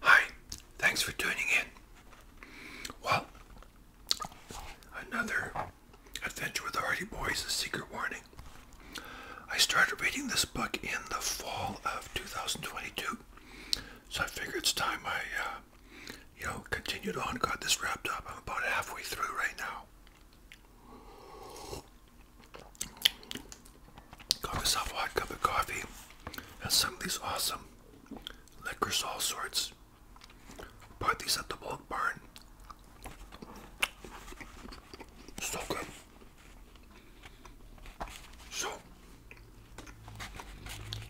Hi, thanks for tuning in. Well, another adventure with the Hardy Boys, a secret warning. I started reading this book in the fall of 2022, so I figured it's time I, uh, you know, continued on, got this wrapped up. I'm about halfway through right now. Got myself a hot cup of coffee and some of these awesome liquors, all sorts. Party's at the bulk barn. So good. So,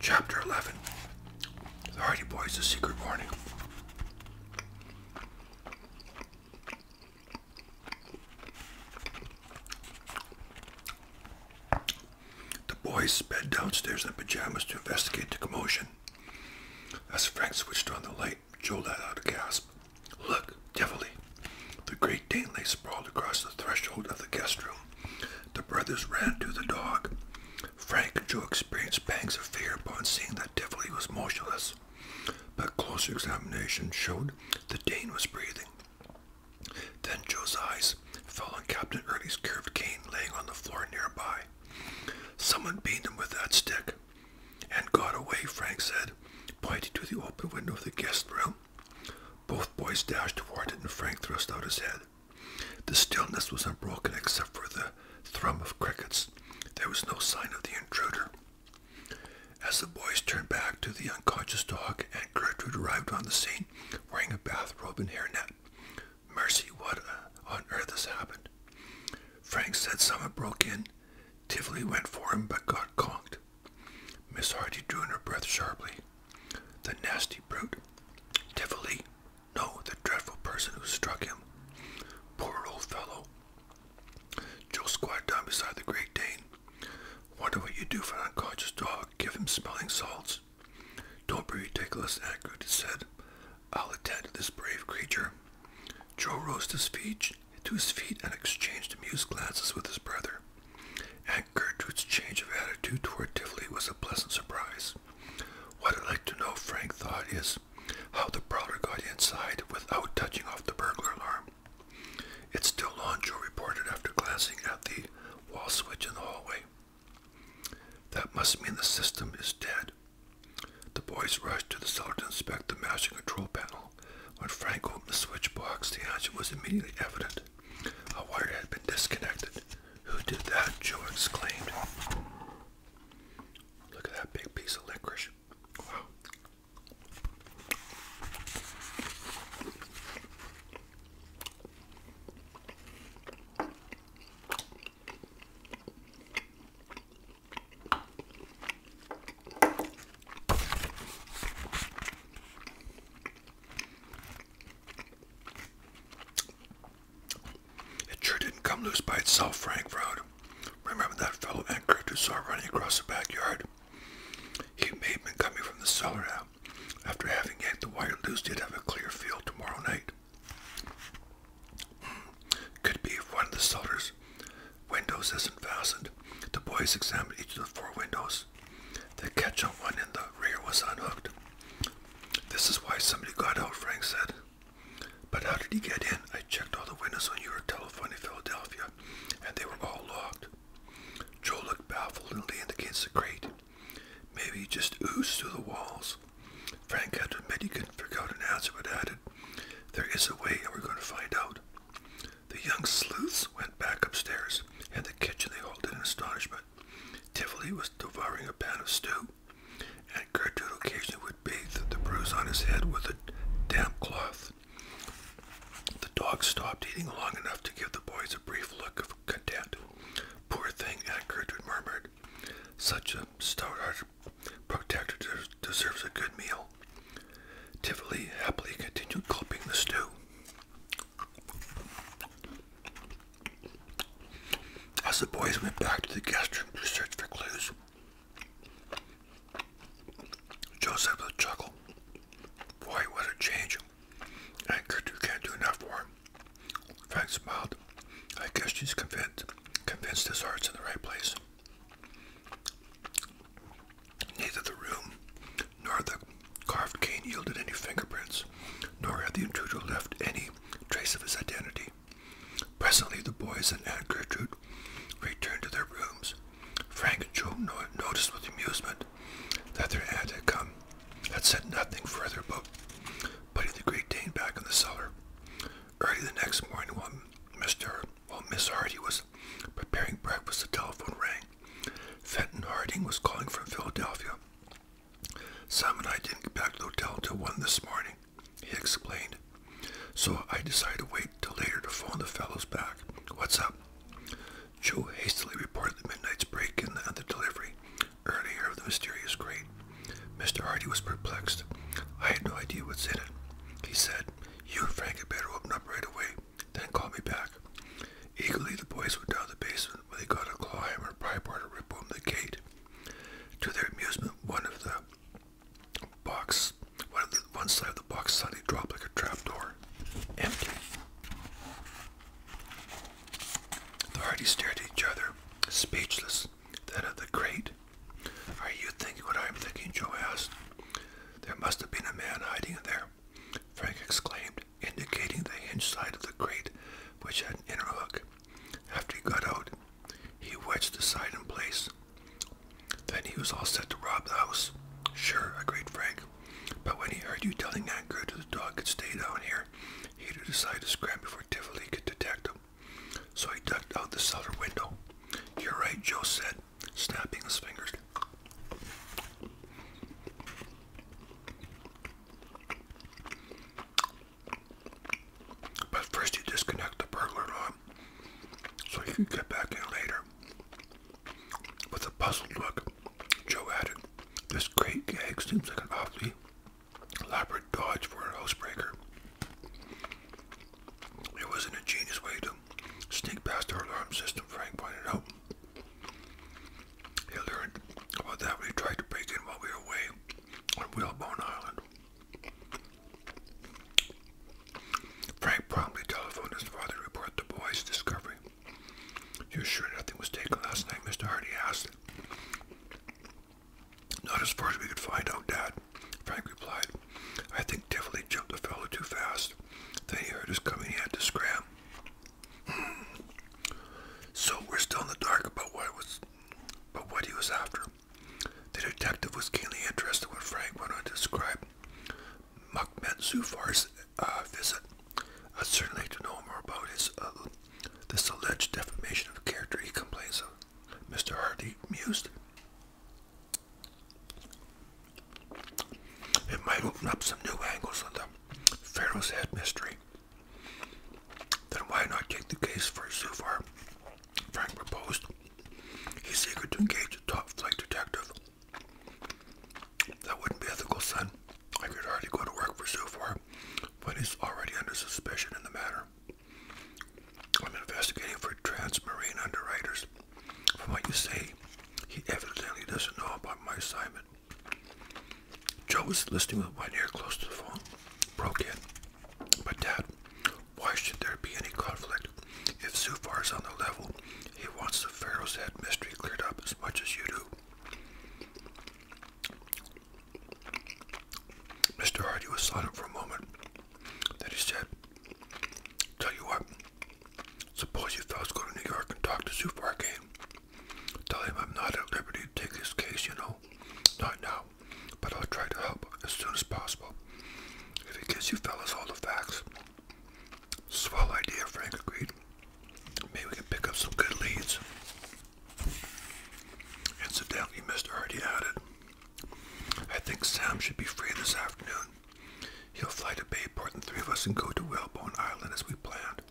chapter 11 The Hardy Boys, The Secret Warning. The boys sped downstairs in pajamas to investigate the commotion. As Frank switched on the light, Joe let out a gasp. Look, Devilly. The great Dane lay sprawled across the threshold of the guest room. The brothers ran to the dog. Frank and Joe experienced pangs of fear upon seeing that Devilly was motionless, but closer examination showed that Dane was breathing. Then Joe's eyes fell on Captain Early's curved cane laying on the floor nearby. Someone beat him with that stick. And got away, Frank said, pointing to the open window of the guest room. Both boys dashed toward it, and Frank thrust out his head. The stillness was unbroken except for the thrum of crickets. There was no sign of the intruder. As the boys turned back to the unconscious dog, Aunt Gertrude arrived on the scene wearing a bathrobe and hairnet. Mercy, what on earth has happened? Frank said someone broke in. Tivoli went for him but got conked. Miss Hardy drew in her breath sharply. The nasty brute. Tivoli. No, the dreadful person who struck him. Poor old fellow. Joe squatted down beside the Great Dane. Wonder what you do for an unconscious dog. Give him smelling salts. Don't be ridiculous, Ackroyd said. I'll attend to this brave creature. Joe rose to his feet, and exchanged amused glances with his brother. Aunt Gertrude's change of attitude toward Tivoli was a pleasant surprise. What I'd like to know, Frank thought, is how the prowler got inside without touching off the burglar alarm. It's still on, Joe reported after glancing at the wall switch in the hallway. That must mean the system is dead. The boys rushed to the cellar to inspect the master control panel. When Frank opened the switch box, the answer was immediately evident. A wire had been disconnected. Who did that? Joe exclaimed. Look at that big piece of licorice. It sure didn't come loose by itself, Frank Road. Remember that fellow anchor who saw running across the backyard? He may have been coming from the cellar out after having yanked the wire loose. He'd have a clear field tomorrow night. Hmm. Could be one of the cellar's windows isn't fastened. The boys examined each of the four windows. The catch on one in the rear was unhooked. This is why somebody got out, Frank said. But how did he get in? I checked all the windows on your telephone in Philadelphia, and they were all locked. Joe looked baffled and leaned against the crate. Maybe he just oozed through the walls. Frank had to he couldn't figure out an answer, but added, There is a way, and we're going to find out. The young sleuths went back upstairs. In the kitchen, they halted in astonishment. Tivoli was devouring a pan of stew, and Gertrude occasionally would bathe the bruise on his head with a damp cloth. The dog stopped eating long enough to give the boys a brief look of content. Poor thing, Aunt Gertrude murmured. Such a stout-hearted protector deserves a good meal. Tivoli happily continued gulping the stew. As the boys went back to the guest room to search for clues, Joseph chuckled. Boy, what a change. Anchored, can't do enough for him. Frank smiled. I guess she's convinced, convinced his heart's in the right place. Neither the room nor the carved cane yielded any fingerprints, nor had the intruder left any trace of his identity. Presently, the boys and Aunt Gertrude returned to their rooms, Frank and Joe noticed with amusement that their aunt had come, had said nothing further about putting the Great Dane back in the cellar. Early the next morning, while Mr. while Miss Hardy was preparing breakfast, the telephone rang. Fenton Harding was calling from Philadelphia. Sam and I didn't get back to the hotel till one this morning, he explained. So I decided to wait till later to phone the fellows back. What's up? Joe hastily reported the midnight's break in the, the delivery earlier of the mysterious crate. Mr. Hardy was perplexed. I had no idea what's in it. He said, You and Frank had better open up right away, then call me back. Eagerly, the boys went down the basement where they got a claw hammer and pry bar to rip open the gate. To their amusement, one of the box, one, side of the box suddenly dropped like a trap door empty. The party stared at each other, speechless. Then at the crate. Are you thinking what I'm thinking? Joe asked. There must have been a man hiding there, Frank exclaimed, indicating the hinge side of the crate, which had an inner hook. After he got out, he wedged the side in place. Then he was all set to rob the house. Sure, agreed Frank. But when he heard you telling that girl that the dog could stay down here, he decided to scram before Tivoli could detect him. So he ducked out the cellar window. You're right, Joe said, snapping his fingers. But first you disconnect the burglar alarm so you can get back in later. With a puzzled look, Joe added, This great gag seems like an awfully elaborate dodge for an housebreaker. It was an ingenious way to sneak past our alarm system, Frank pointed out. He learned about that when he tried to break in while we were away on Whalebone Island. Frank promptly telephoned his father to report the boy's discovery. You're sure nothing was taken last night, Mr. Hardy asked. Not as far as we could find out, Dad, Frank replied. I think Tivoli jumped the fellow too fast. Then he heard us coming, he had to scram. so we're still in the dark about what was but what he was after. The detective was keenly interested in what Frank went on to describe Mukhmet Zufar's uh, visit. I'd certainly to know more about his uh, this alleged defamation of character he complains of. Mr. Hardy mused. It might open up some new angles on the Pharaoh's Head mystery. Then why not take the case for Zufar? Frank proposed. He's eager to engage a top-flight detective that wouldn't be ethical, son. I could hardly go to work for Zufar, but he's already under suspicion in the matter. I'm investigating for transmarine underwriters. From what you say, he evidently doesn't know about my assignment. Joe was listening with one ear close to the phone, broke in. But Dad, why should there be any conflict? If Zufar is on the level, he wants the Pharaoh's head mystery cleared up as much as you do. Mr. Hardy was silent for a moment. Then he said, Tell you what, suppose you fellows go to New York and talk to Zufar again. Tell him I'm not at liberty to take his case, you know. Not now, but I'll try to help as soon as possible. If he gives you fellows all the facts, Swell idea, Frank agreed. Maybe we can pick up some good leads. Incidentally, Mr. Hardy added, I think Sam should be free this afternoon. He'll fly to Bayport and three of us can go to Whalebone Island as we planned.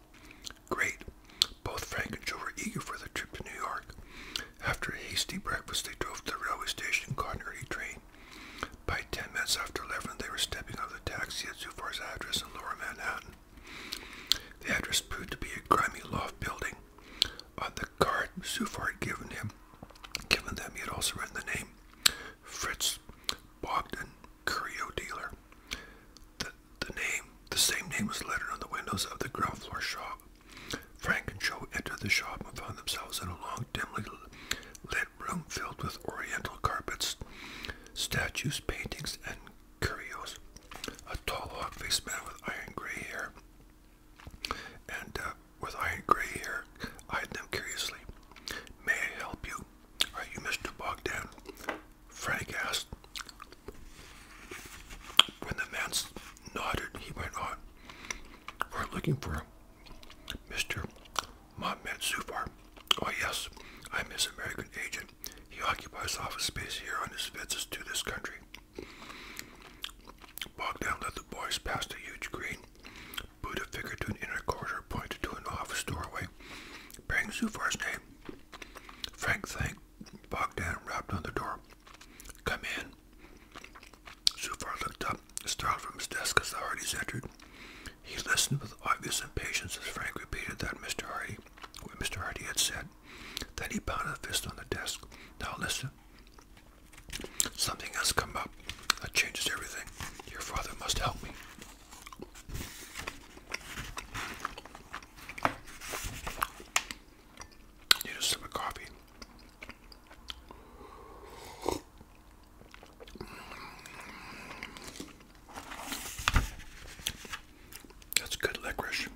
Great. Both Frank and Joe were eager for the trip to New York. After a hasty breakfast, they drove to the railway station and caught an early train. By ten minutes after eleven, they were stepping out of the taxi at Zufar's address in Lower Manhattan. The address proved to be a grimy loft building. On the card Zufar had given him, given them, he had also written the name Fritz Bogdan, curio dealer. The, the name, the same name, was lettered on the windows of the ground floor shop. Frank and Joe entered the shop and found themselves in a long, dimly lit room filled with oriental carpets statues, paintings, and curios. A tall, hawk-faced man with iron gray hair, and uh, with iron gray hair, eyed them curiously. May I help you? Are you Mr. Bogdan? Frank asked. When the man nodded, he went on. We're looking for Mr. Mohamed Zufar. Oh yes, I'm his American agent. He occupies office space here on his visits to this country. Bogdan led the boys past a huge green. Buddha figure to an inner corridor pointed to an office doorway, bearing Zufar's name. Frank thanked Bogdan rapped on the door. Come in. Zufar looked up, startled from his desk as the Hardys entered. He listened with obvious impatience as Frank repeated that Mr. Hardy, what Mr. Hardy had said. Then he pounded a fist on the desk. Now listen. Something has come up that changes everything. Your father must help me. Need a sip of coffee. That's good licorice.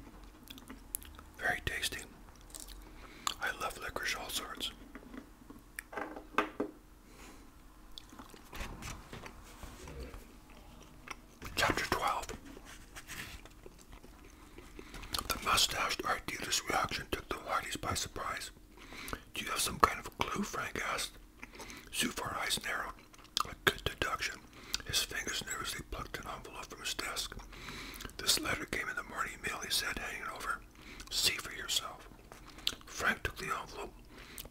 Very tasty. I love licorice all sorts. Chapter 12 The mustached art dealer's reaction took the Hardys by surprise. Do you have some kind of clue? Frank asked. Zufar eyes narrowed. Like good deduction, his fingers nervously plucked an envelope from his desk. This letter came in the morning mail, he said, hanging over. See for yourself. Frank took the envelope,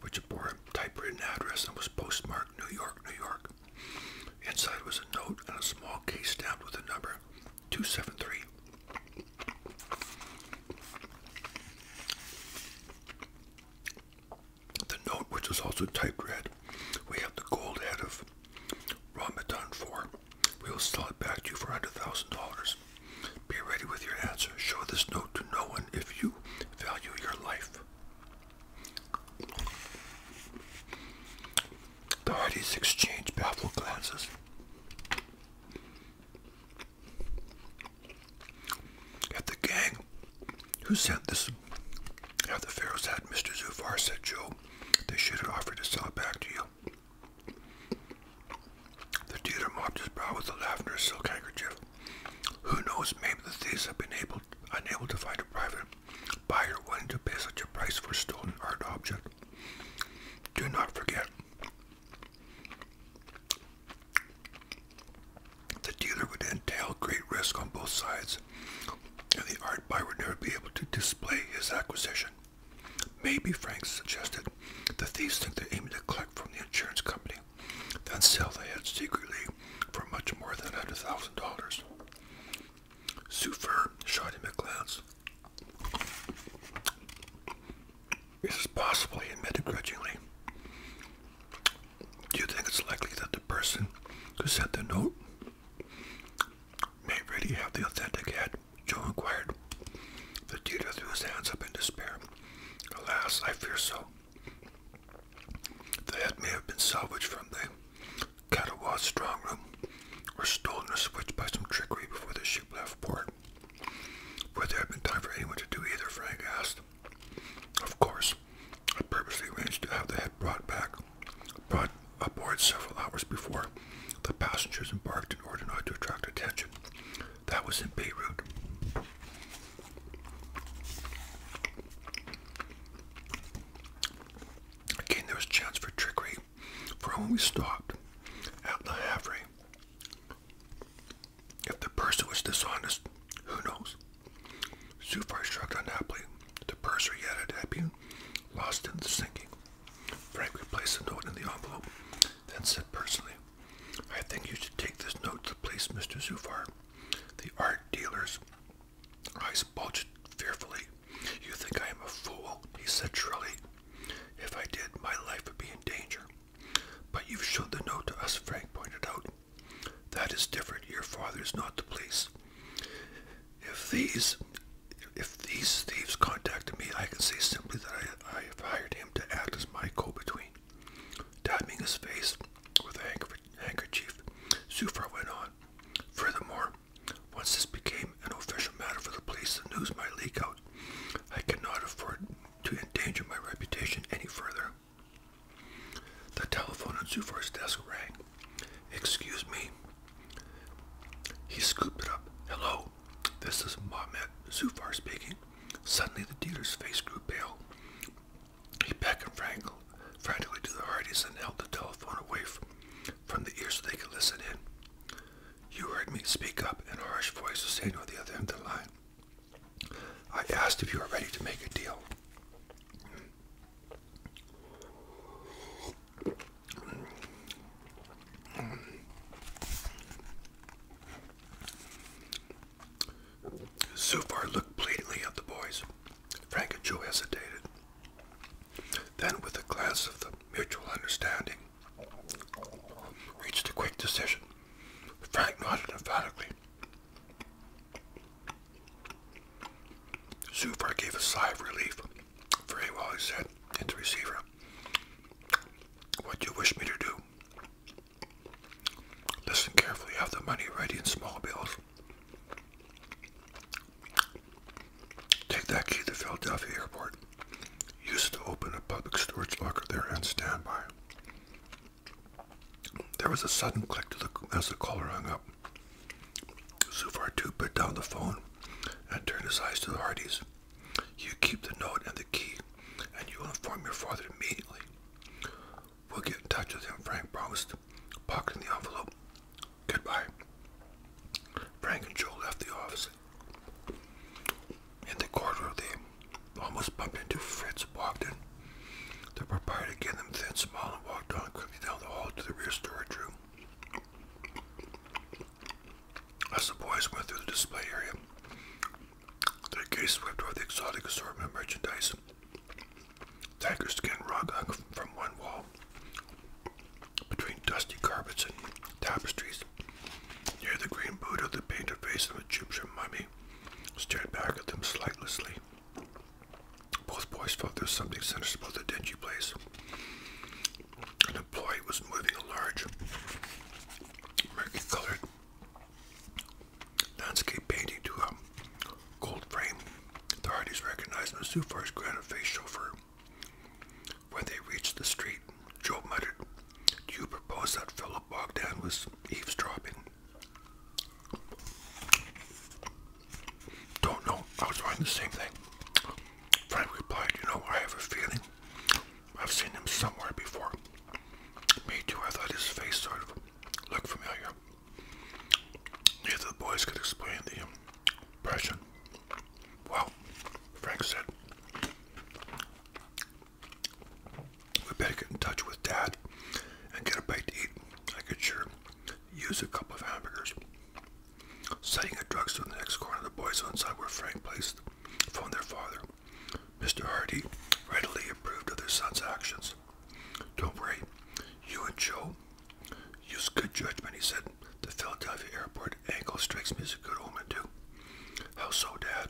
which bore a typewritten address and was postmarked New York, New York. Inside was a note and a small case stamped with the number 273. The note, which is also typed red, we have the gold head of Ramadan 4. We will sell it back to you for $100,000. Be ready with your answer. Show this note to no one if you value your life. The Hardys exchange baffled glances. At the gang who sent this, at the Pharaoh's had Mr. Zufar said, Joe, they should have offered to sell it back to you. The dealer mopped his brow with a lavender silk handkerchief. Who knows, maybe the thieves have been able, unable to find a private buyer willing to pay such a price for a stolen art object. Do not forget the dealer would entail great risk on both sides, and the art buyer would never be able to display his acquisition. Maybe, Frank suggested, the thieves think they're aiming to collect from the insurance company, then sell the head secretly for much more than $100,000. Super, shot him a glance. This is possible, he admitted grudgingly. Do you think it's likely that the person who sent the note may really have the authentic head? Joe inquired. The teacher threw his hands up in despair. Alas, I fear so. The head may have been salvaged from the Catawba's strong room, or stolen or switched by some trickery before the ship left port. Would there have been time for anyone to do either? Frank asked. Of course, I purposely arranged to have the head brought back, brought aboard several hours before the passengers embarked in order not to attract attention. That was in Beirut. Again, there was chance for trickery, for when we stopped at La Havre, if the person was dishonest, who knows? Zufar shrugged unhappily. The purser he had at Appian, lost in the sinking. Frank replaced the note in the envelope, then said personally, I think you should take this note to the police, Mr. Zufar. The art dealer's eyes bulged fearfully. You think I am a fool, he said shrilly. If I did, my life would be in danger. But you've showed the note to us, Frank pointed out. That is different. Your father is not the police. If these if these thieves contacted me, I can say simply that I, have hired him to act as my co-between. Dabbing his face with a handkerchief, Zufar went on. Furthermore, once this became an official matter for the police, the news might leak out. I cannot afford to endanger my reputation any further. The telephone on Zufar's desk rang. Excuse me. He scooped it up. Hello, this is Mohamed Zufar speaking. Suddenly the dealer's face grew pale. He beckoned frantically to the Hardys and held the telephone away from, the ear so they could listen in. You heard me speak up, in a harsh voice was saying on the other end of the line. I asked if you were ready to make a deal. So Zufar looked pleadingly at the boys. Frank and Joe hesitated. Then, with a glance of the mutual understanding, reached a quick decision. Frank nodded emphatically. Zufar gave a sigh of relief. Very well, he said, hit the receiver. What do you wish me to do? Listen carefully, have the money ready in small bills. Take that key to Philadelphia Airport. Use it to open a public storage locker there and stand by. There was a sudden click as the caller hung up. Zufar too put down the phone and turned his eyes to the Hardys. You keep the note and the key, and you will inform your father immediately. We'll get in touch with him, Frank promised, pocketing the envelope. Goodbye. Frank and Joe left the office. In the corridor, almost bumped into Fritz, walked in. The proprietor gave them a thin smile and walked on quickly down the hall to the rear storage room. As the boys went through the display area, their gaze swept over the exotic assortment of merchandise. Tiger skin rug hung from one wall, between dusty carpets and tapestries, near the green Buddha, the painted face of an Egyptian mummy, stared back at them slightlessly. Both boys felt there was something sinister about the dingy place. An employee was moving a large, murky-colored landscape painting to a gold frame. The Hardys recognized him as granite-faced chauffeur. When they reached the street, Joe muttered, you propose that Philip Bogdan was eavesdropping? Don't know. I was writing the same thing. Frank replied, You know, I have a feeling I've seen him somewhere before. Me too. I thought his face sort of looked familiar. Neither of the boys could explain the impression. Well, Frank said, we better get in touch with Dad and get a bite to eat. I could sure use a couple of hamburgers. Setting a drugstore in the next corner, the boys on side where Frank placed phoned their father. Mr. Hardy readily approved of their son's actions. Don't worry, you and Joe use good judgment, he said. The Philadelphia airport angle strikes me as a good omen, too. How so, Dad?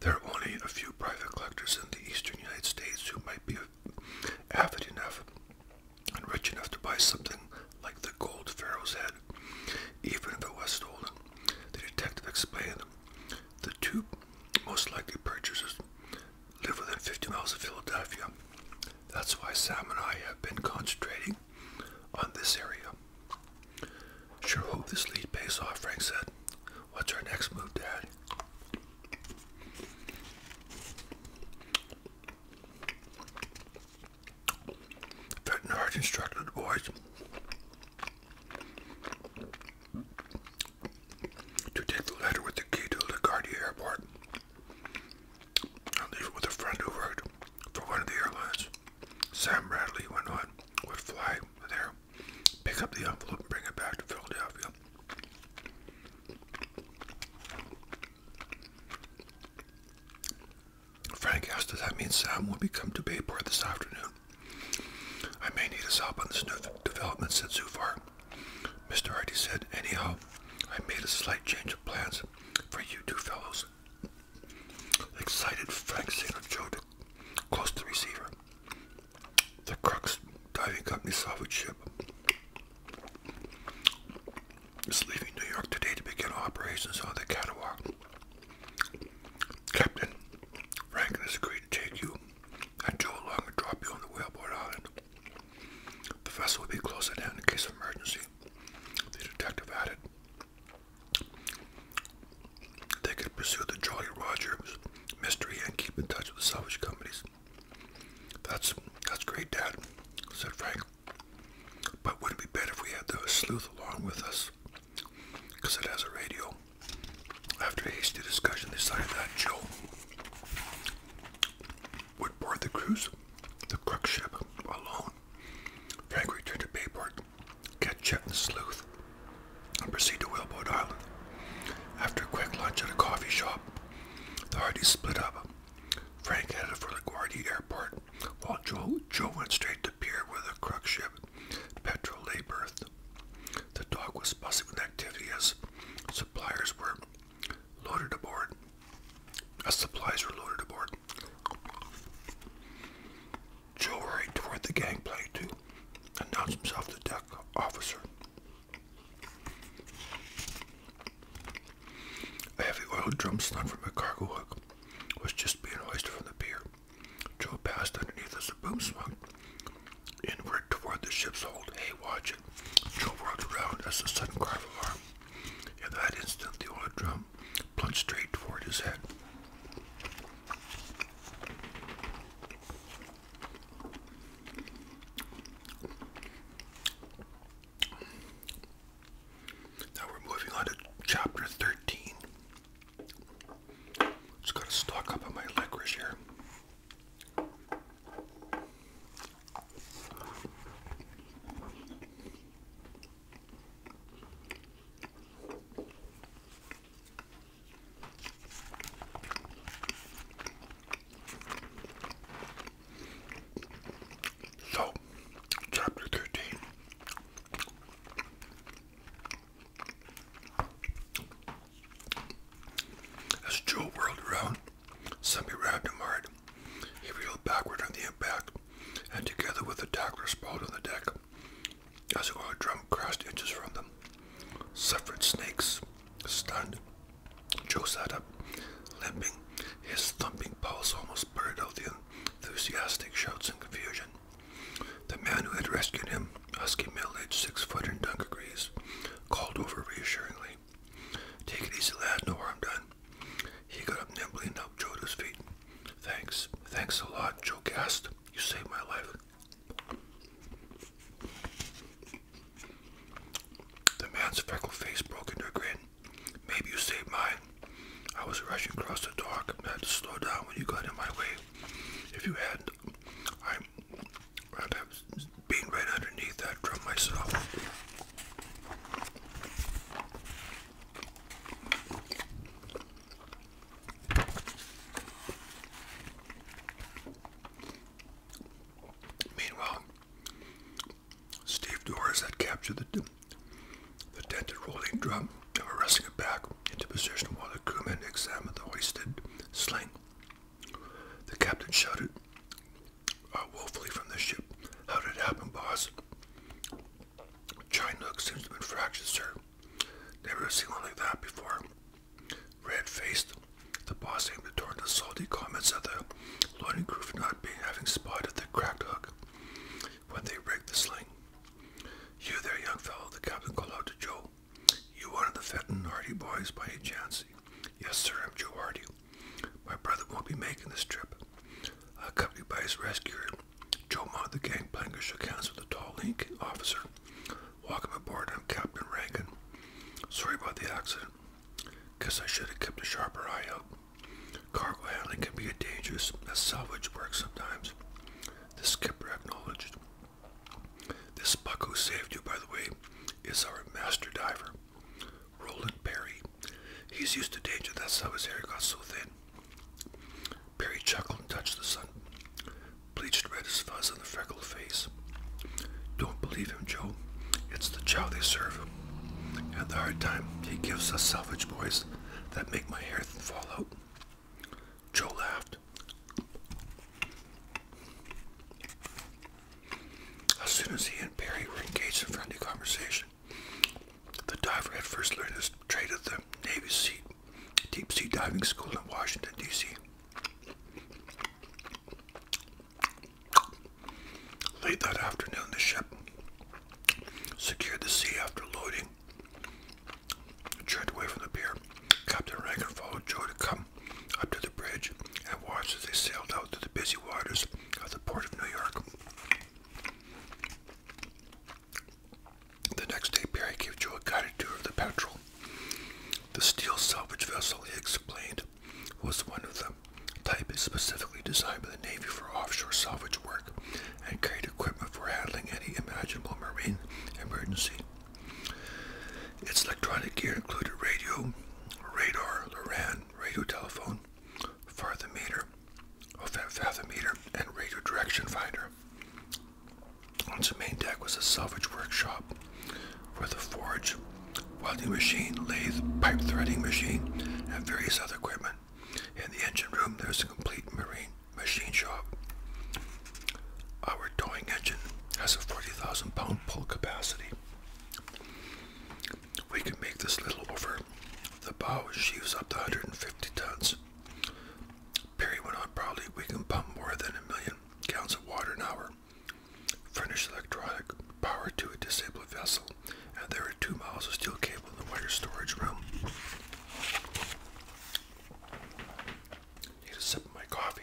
There are only a few private collectors in the eastern United States who might be avid enough and rich enough to buy something like the gold pharaoh's head, even if it was stolen, The detective explained the two most likely purchasers live within 50 miles of Philadelphia. That's why Sam and I have been concentrating on this area. Sure hope this lead pays off, Frank said. What's our next move, Dad? Veterinarians instructed boys to take the letter with the key to LaGuardia Airport and leave it with a friend who worked for one of the airlines. Sam Bradley went on, would fly there pick up the envelope and bring it back to Philadelphia. Frank asked, does that mean Sam will be coming to Bayport this afternoon? I may need his help on this new development, so far, Mr. Hardy said, anyhow, I made a slight change of plans for you two fellows. Excited, Frank signaled Joe to close the receiver the Crux Diving Company salvage ship is leaving New York today to begin operations on the Catawba. Captain Franklin has agreed to take you and Joe along and drop you on the whaleboat island. The vessel will be close at in case of emergency, the detective added. They could pursue the Jolly Rogers mystery and keep in touch with the salvage companies. That's that's great, Dad, said Frank. But wouldn't it be better if we had the sleuth along with us? Because it has a radio. After a hasty discussion, they decided that Joe would board the cruise, the Crux ship, alone. Frank returned to Bayport, get Chet the sleuth, and proceed to Whalebone Island. After a quick lunch at a coffee shop, the Hardys split up. Frank headed for LaGuardia Airport, while Joe, Joe went straight to pier where the crux ship, Petro lay berthed. The dock was bustling with activity as suppliers were loaded aboard. As supplies were loaded aboard. Joe hurried toward the gangplank to announced himself the deck officer. A heavy oiled drum slung from a cargo hook was just being hoisted from the pier. Joe passed underneath as the boom swung inward toward the ship's hold. Hey, watch it. Joe whirled around as a sudden cry of alarm. In that instant, the oiled drum plunged straight toward his head. Now we're moving on to chapter 13. Just gotta stock up on my licorice here. So, chapter 13. As Joe whirled around, somebody grabbed him hard. He reeled backward on the impact, and together with the tackler sprawled on the deck, as a drum crashed inches from them. Suffered snakes, Stunned, Joe sat up, limping. His thumping pulse almost buried out the enthusiastic shouts and confusion. The man who had rescued him, husky middle-aged six-foot and dunker degrees, called over reassuringly. Take it easy, lad. No harm done. He got up nimbly and helped Joe to his feet. Thanks. Thanks a lot, Joe gasped. You saved my life. The man's freckled face broke into a grin. Maybe you saved mine. I was rushing across the dock and had to slow down when you got in my way. If you hadn't, I would have been right underneath that drum myself. Meanwhile, Steve Doris had captured the, the dented rolling drum and were resting it back into position while the crewmen examined the hoisted sling. The captain shouted uh, woefully from the ship, How did it happen, boss? Chinook seems to be been fractured, sir. Never seen one like that before. Red-faced, the boss aimed to turn the salty comments at the loading crew for not being having spotted the cracked hook when they rigged the sling. You there, young fellow, the captain called out to Joe. You one of the Fenton Hardy boys by any chance? Yes, sir, I'm Joe Hardy. My brother won't be making this trip. Accompanied by his rescuer, Joe mounted the gangplank and shook hands with the tall, lean officer Welcome aboard, I'm Captain Reagan. Sorry about the accident. Guess I should have kept a sharper eye out. Cargo handling can be a dangerous as salvage work sometimes. The skipper acknowledged. This buck who saved you, by the way, is our master diver, Roland Perry. He's used to danger, that's how his hair got so thin. Perry chuckled and touched the sun bleached red as fuzz on the freckled face. Don't believe him, Joe. It's the chow they serve. And the hard time he gives us salvage boys that make my hair fall out. Joe laughed. As soon as he and Perry were engaged in friendly conversation, the diver had first learned his trade at the Navy Sea, Deep Sea Diving School in Washington, D.C. Late that afternoon, the ship secured the sea after loading. Turned away from the pier, Captain Rankin followed Joe to come up to the bridge and watch as they sailed out to the busy waters of the port of New York. The next day, Perry gave Joe a guided tour of the patrol. The steel salvage vessel, he explained, was one of the type specifically designed by the Navy for offshore salvage work and carried equipment for handling any imaginable marine emergency. Its electronic gear included radio, radar, Loran, radio telephone, fathometer, and radio direction finder. Once the main deck was a salvage workshop for the forge, welding machine, lathe, pipe threading machine, and various other equipment. In the engine room, there's a complete marine machine shop. Our towing engine has a 40,000 pound pull capacity. We can make this little over the bow sheaves up to 150 tons. Perry went on proudly, we can pump more than a million gallons of water an hour. Furnished electronic power to a disabled vessel, and there are two miles of steel cable in the water storage room. Need a sip of my coffee.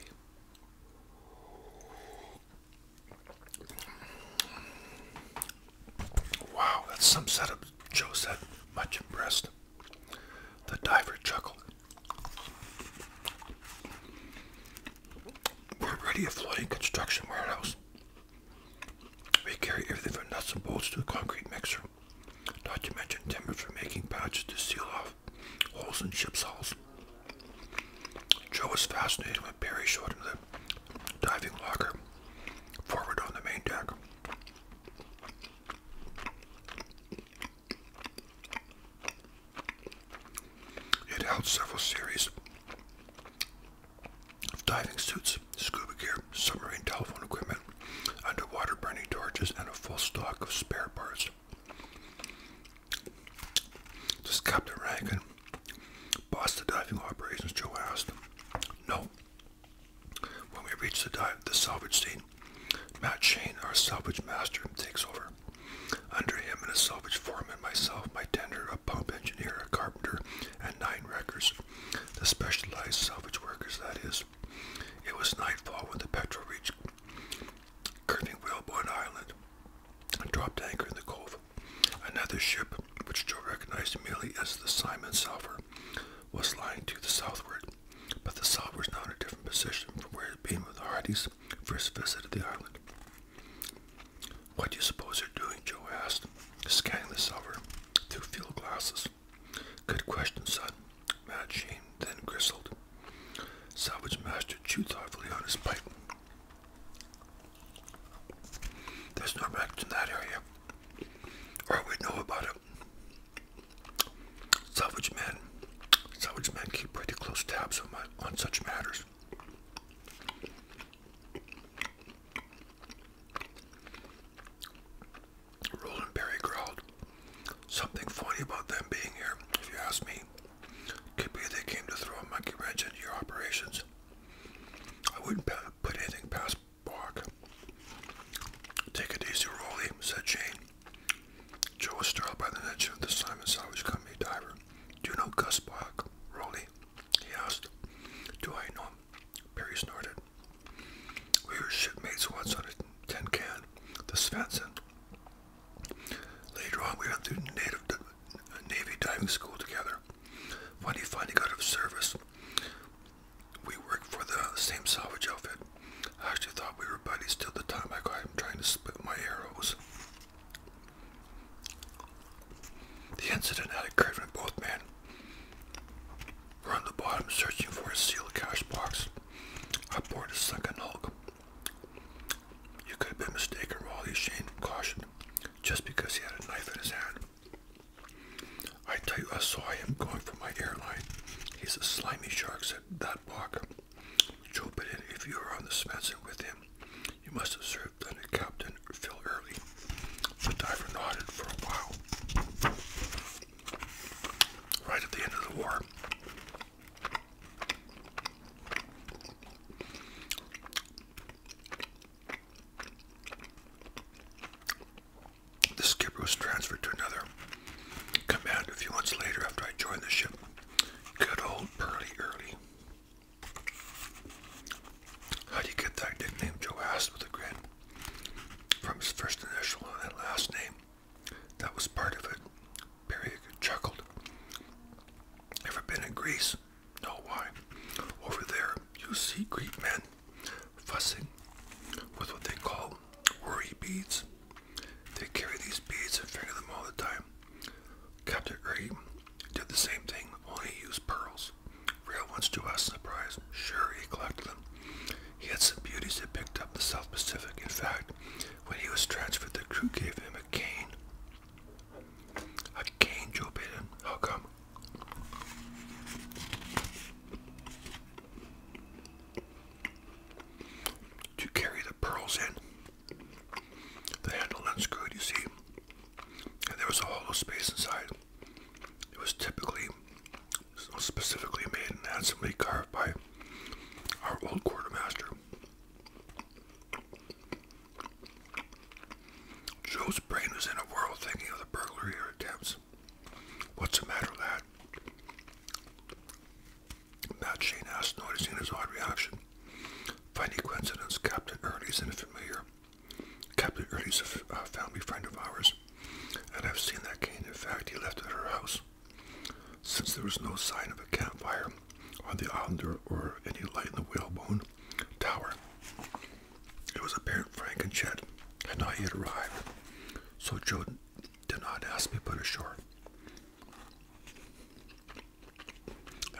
Wow, that's some setup, Joe said, much impressed. The diver chuckled. We're already a flooding construction warehouse. We carry everything from nuts and bolts to a concrete mixer. Not to mention timbers for making patches to seal off holes in ship's hulls. Joe was fascinated when Perry showed him the diving locker forward on the main deck. It held several series of diving suits, scuba gear, submarine telephone equipment, underwater burning torches, and a full stock of spare parts. Does Captain Rankin boss the diving operations? Joe asked. No. When we reach the dive, the salvage team, Matt Shane, our salvage master, takes over. Under him and a salvage foreman, myself, my tender, a pump engineer, a carpenter, and nine wreckers, the specialized salvage workers, that is. It was nightfall when the Petrel reached curving Whalebone Island and dropped anchor in the cove. Another ship, which Joe recognized merely as the Simon Salver, was lying to the southward, but the Salver was now in a different position from where it had been with the Hardys, first visited the island. What do you suppose you're doing? Joe asked, scanning the silver through field glasses. Good question, son, Mad then gristled. Salvage Master chewed thoughtfully on his pipe. There's no wrecked in that area, or we know about it. Salvage Man so, men keep pretty close tabs on, my, on such matters. Roland Berry growled. Something funny about them being here, if you ask me. Could be they came to throw a monkey wrench into your operations. I wouldn't put anything past Park. Take it easy, Rolly, said Jane. Joe was startled by the mention of the Simon Salvage Company diver. Do you know Gus Block, Rowley? He asked. Do I know him? Perry snorted. We were shipmates once on a tin can, the Svensen. Later on, we went through Navy diving school together. When he finally got out of service, we worked for the same salvage outfit. I actually thought we were buddies till the time I caught him trying to split my arrows. The incident had occurred in both men were on the bottom searching for a sealed cash box aboard a sunken hulk. You could have been mistaken, Raleigh Shane cautioned, just because he had a knife in his hand. I tell you, I saw him going for my airline. He's a slimy shark, said that block. Joe if you were on the Spencer with him, you must have served under Captain Phil Early. The diver nodded for a while. Right at the end of the war, the skipper was transferred to another command a few months later after I joined the ship. Good old Pearly Early. How'd you get that nickname? Joe asked with a grin. From his first initial and last name. That was part of it. Perry chuckled. Ever been in Greece? No, why? Over there, you see Greek men fussing with what they call worry beads. They carry these beads and finger them all the time. Captain Gray did the same thing, only he used pearls. Real ones to us, surprise. Sure, he collected them. He had some beauties that picked up the South Pacific. In fact, when he was transferred, the crew gave him a cane. A cane, Joe Biden. How come? To carry the pearls in the handle unscrewed, you see, and there was a hollow space inside. It was typically, specifically made and handsomely carved by our old quartermaster. Joe's brain was in a whirl thinking of the burglary attempts. What's the matter, lad? Matt Shane asked, noticing his odd reaction. Funny coincidence, Captain Early's and familiar. Captain Early's a family friend of ours, and I've seen that cane. In fact, he left at her house. Since there was no sign of a campfire on the island or any light in the whalebone tower, it was apparent Frank and Chet had not yet arrived, so Joe did not ask me but ashore.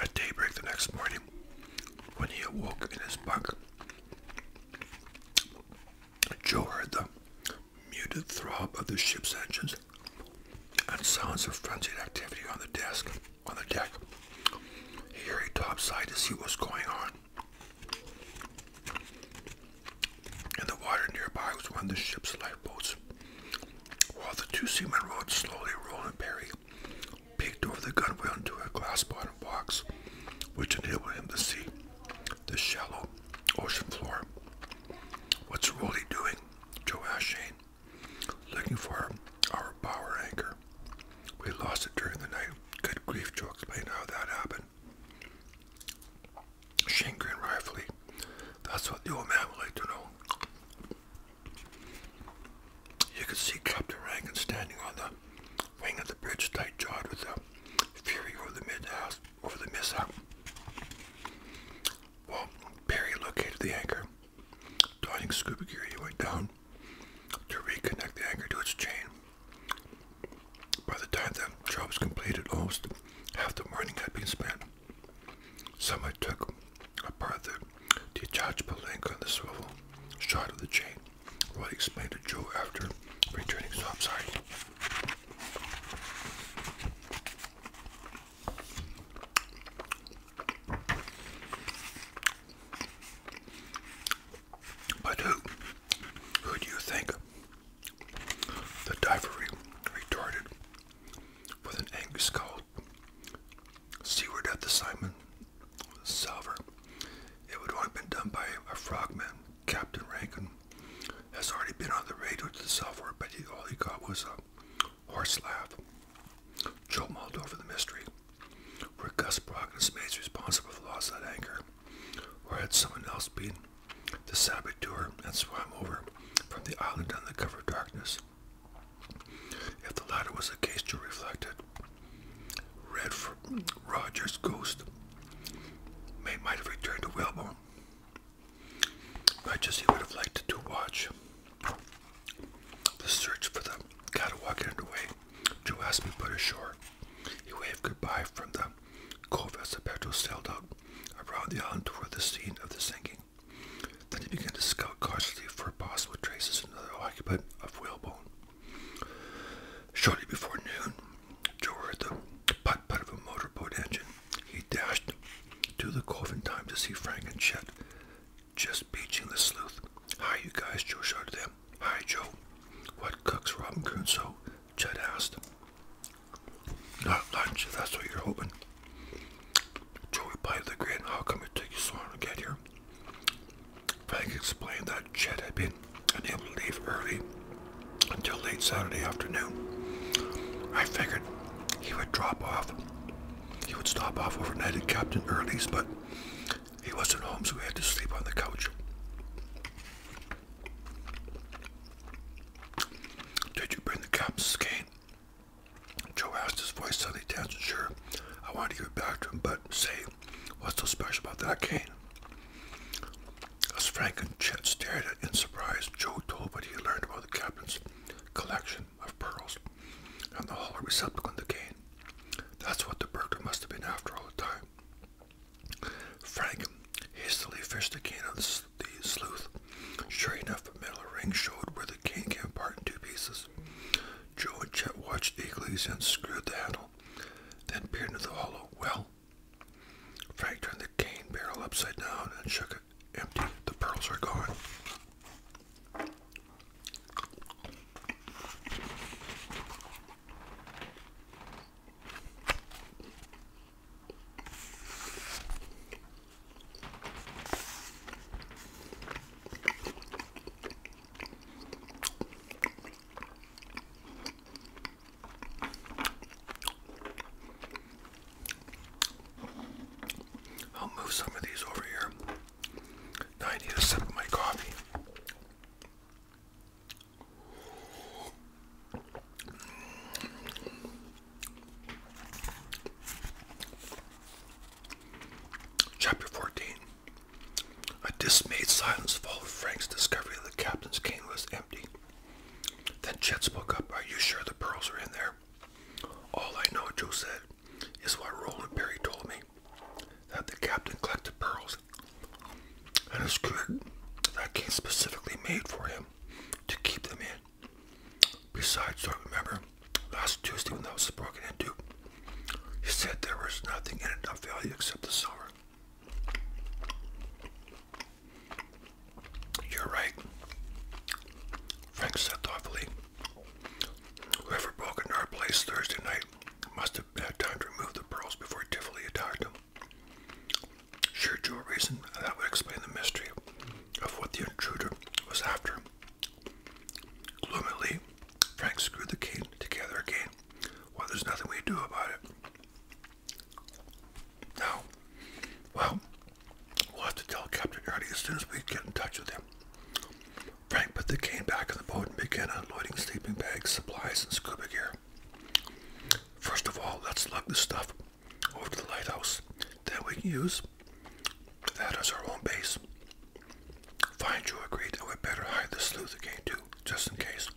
At daybreak the next morning, when he awoke in his bunk, Joe heard the muted throb of the ship's engines and sounds of frenzied activity on the desk on the deck. He hurried topside to see what was going on. In the water nearby was one of the ship's lifeboats, while the two seamen rowed slowly, Roland Barry peeked over the gunwale into a glass-bottomed box, which enabled him to see the shallow ocean floor. What's Rolly doing? Joe asked Shane. Looking for our bower anchor. We lost it during the night. Good grief, Joe explain how that happened. Shane grinned rightfully. That's what the old man would like to know. You could see Captain Rankin standing on the wing of the bridge, tight-jawed with the fury over the mishap. Well, Perry located the anchor. Donning scuba gear, he went down to reconnect the anchor to its chain. By the time that job was completed, almost half the morning had been spent. Someone took apart the detachable link on the swivel, shot of the chain. Roy explained to Joe after returning topside. But who? Who do you think? The diver retorted with an angry scowl. See where of the Simon Salver. It would only have been done by a frogman. Captain Rankin has already been on the radio to the Salver, but he, all he got was a horse laugh. Joe mulled over the mystery. Were Gus Brock and his mates responsible for the loss of that anchor? Or had someone else been the saboteur and swam over from the island under cover of darkness? If the latter was the case, Drew reflected. Red for Roger's ghost may might have returned to Wellborn. Not just he would have liked to watch. The search for the Catawalk underway. Joe asked me to put ashore. He waved goodbye from the cove as the Petro sailed out around the island toward the scene of the sinking. Then he began to scout cautiously for possible traces of another occupant of whalebone. Shortly before noon, Joe heard the putt putt of a motorboat engine. He dashed to the cove in time to see Frank and Chet just beaching the sleuth. Hi, you guys, Joe shouted at them. Hi, Joe. What cooks Robin So Chet asked. Not lunch, if that's what you're hoping, Joe replied to the grin, How come it took you so long to get here? Frank explained that Chet had been unable to leave early until late Saturday afternoon. I figured he would drop off. He would stop off overnight at Captain Early's, but he wasn't home, so we had to sleep on the couch. Did you bring the captain's cane? Joe asked his voice suddenly tense. Sure, I wanted to give it back to him, but say, what's so special about that cane? As Frank and Chet stared at in surprise, Joe told what he learned about the captain's collection of pearls and the hollow receptacle in the cane. That's what the burglar must have been after all the time. Frank hastily fished the cane out of the sleuth. Sure enough, a metal ring showed where the the cane came apart in two pieces. Joe and Chet watched eagerly as he the handle, then peered into the hollow. Well, Frank turned the cane barrel upside down and shook it empty. The pearls are gone. I'll move some of these over here. Now I need a sip of my coffee. Chapter 14 A dismayed silence followed Frank's discovery that the captain's cane was empty. Then Chet spoke up. Are you sure the pearls are in there? All I know, Joe said, is what Roland Perry told me that the captain collected pearls and a squid that came specifically made for him to keep them in. Besides, do I remember last Tuesday when that was broken into, he said there was nothing in it of value except the silver. You're right, Frank said thoughtfully. Whoever broke into our place Thursday night must have had time to remove the pearls before Tivoli attacked them. Sure, Joe reasoned, that would explain the mystery of what the intruder was after Gloomily, Frank screwed the cane together again. Well, there's nothing we can do about it. No. Well, we'll have to tell Captain Ernie as soon as we get in touch with him. Frank put the cane back in the boat and began unloading sleeping bags, supplies, and scuba gear. First of all, let's lug the stuff over to the lighthouse that we can use that as our own base. Find you agreed that we better hide the sleuth again too, just in case.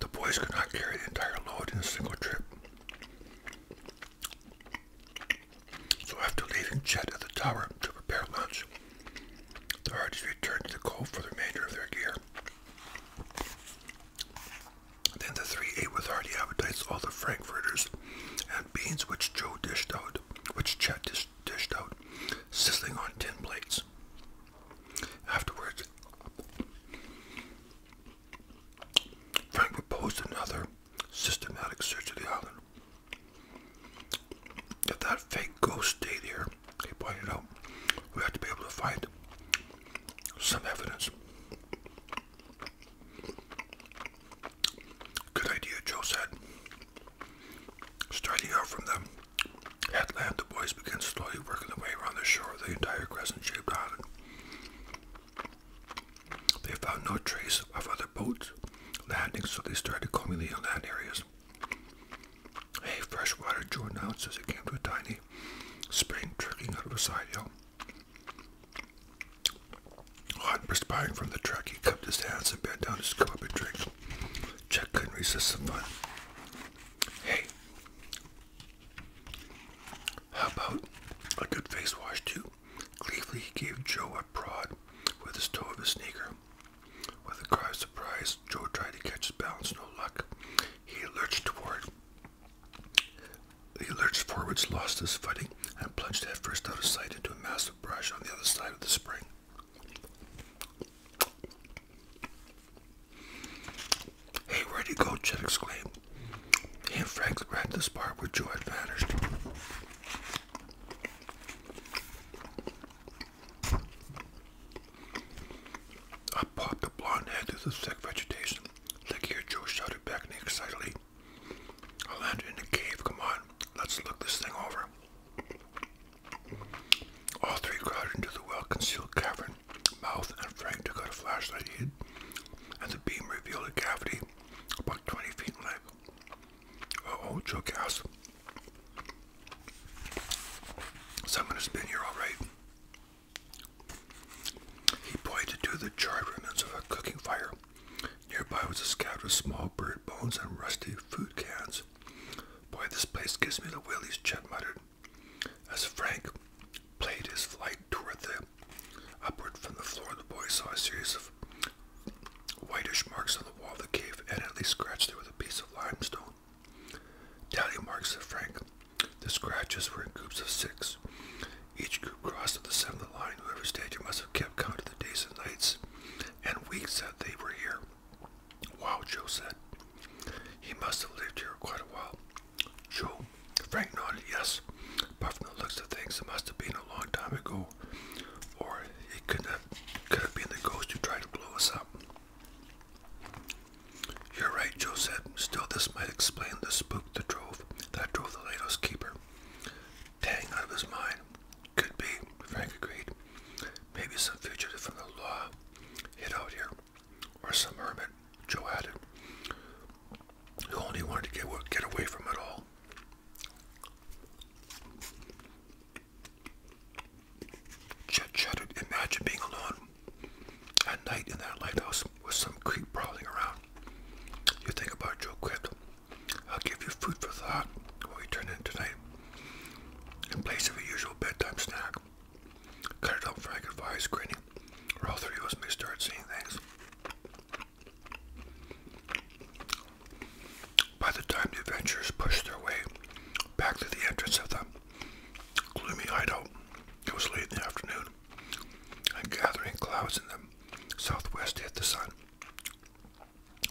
The boys could not carry the entire load in a single trip. So after leaving Chet at the tower to prepare lunch, the Hardys returned to the cove for the remainder of their gear. Then the three ate with hearty appetites all the frankfurters and beans which Joe dished out, which Chet dished out, sizzling on tin plates. Afterwards, Frank proposed another systematic search of the island. If that fake ghost stayed here, he pointed out, we have to be able to find some evidence. Good idea, Joe said. Starting out from the headland, the boys began slowly working their way around the shore of the entire crescent-shaped island. They found no trace of other boats landing, so they started combing the inland areas. Hey, fresh water, Joe announced as he came to a tiny spring trickling out of a side hill. Hot perspiring from the truck, he cupped his hands and bent down to scoop up a drink. Chuck couldn't resist the fun. Hey, how about a good face wash, too? Gleefully, gave Joe a prod with his toe of his sneaker. With a cry of surprise, Joe tried to catch his balance, no luck. He lurched toward he lurched forwards, lost his footing, and plunged headfirst out of sight into a mass of brush on the other side of the spring. Hey, where'd he go? Chet exclaimed. He and Frank ran to the spot where Joe had vanished. Up popped a blonde head through the thick vegetation. Like here, Joe shouted back excitedly. I landed in the cave. Come on, let's look this thing over. All three crowded into the well-concealed cavern mouth, and Frank took out a flashlight and the beam revealed a cavity about 20 feet in length. Uh-oh, Joe gasped. Someone has been here all right. He pointed to the charred remnants of a cooking fire. Nearby was a scabbard of small bird bones and rusty food cans. Boy, this place gives me the willies, Chet muttered, as Frank played his flight toward the upward from the floor. The boy saw a series of whitish marks on the wall of the cave, and at least scratched there with a piece of limestone. Tally marks, said Frank. The scratches were in groups of six, each group crossed the seventh of the line. Whoever stayed here must have kept count of the days and nights and weeks that they were here. Wow, Joe said. He must have lived here quite a while. Joe? Frank nodded yes, but from the looks of things, it must have been a long time ago, or it could have, could have been the ghost who tried to blow us up. You're right, Joe said. Still, this might explain the spook the Drove that drove the lighthouse keeper. Tang out of his mind. Could be, Frank agreed. Maybe some fugitive from the law hid out here. Or some hermit, Joe added, who only wanted to get, get away from it all. Chet shuddered. Imagine being alone at night in that lighthouse with some creep prowling around. You think about Joe Quitt. I'll give you food for thought when we turn in tonight, in place of a usual bedtime snack. Cut it up, Frank advised, grinning, or all three of us may start seeing things. By the time the adventurers pushed their way back to the entrance of the gloomy hideout, it was late in the afternoon, and gathering clouds in the southwest hit the sun.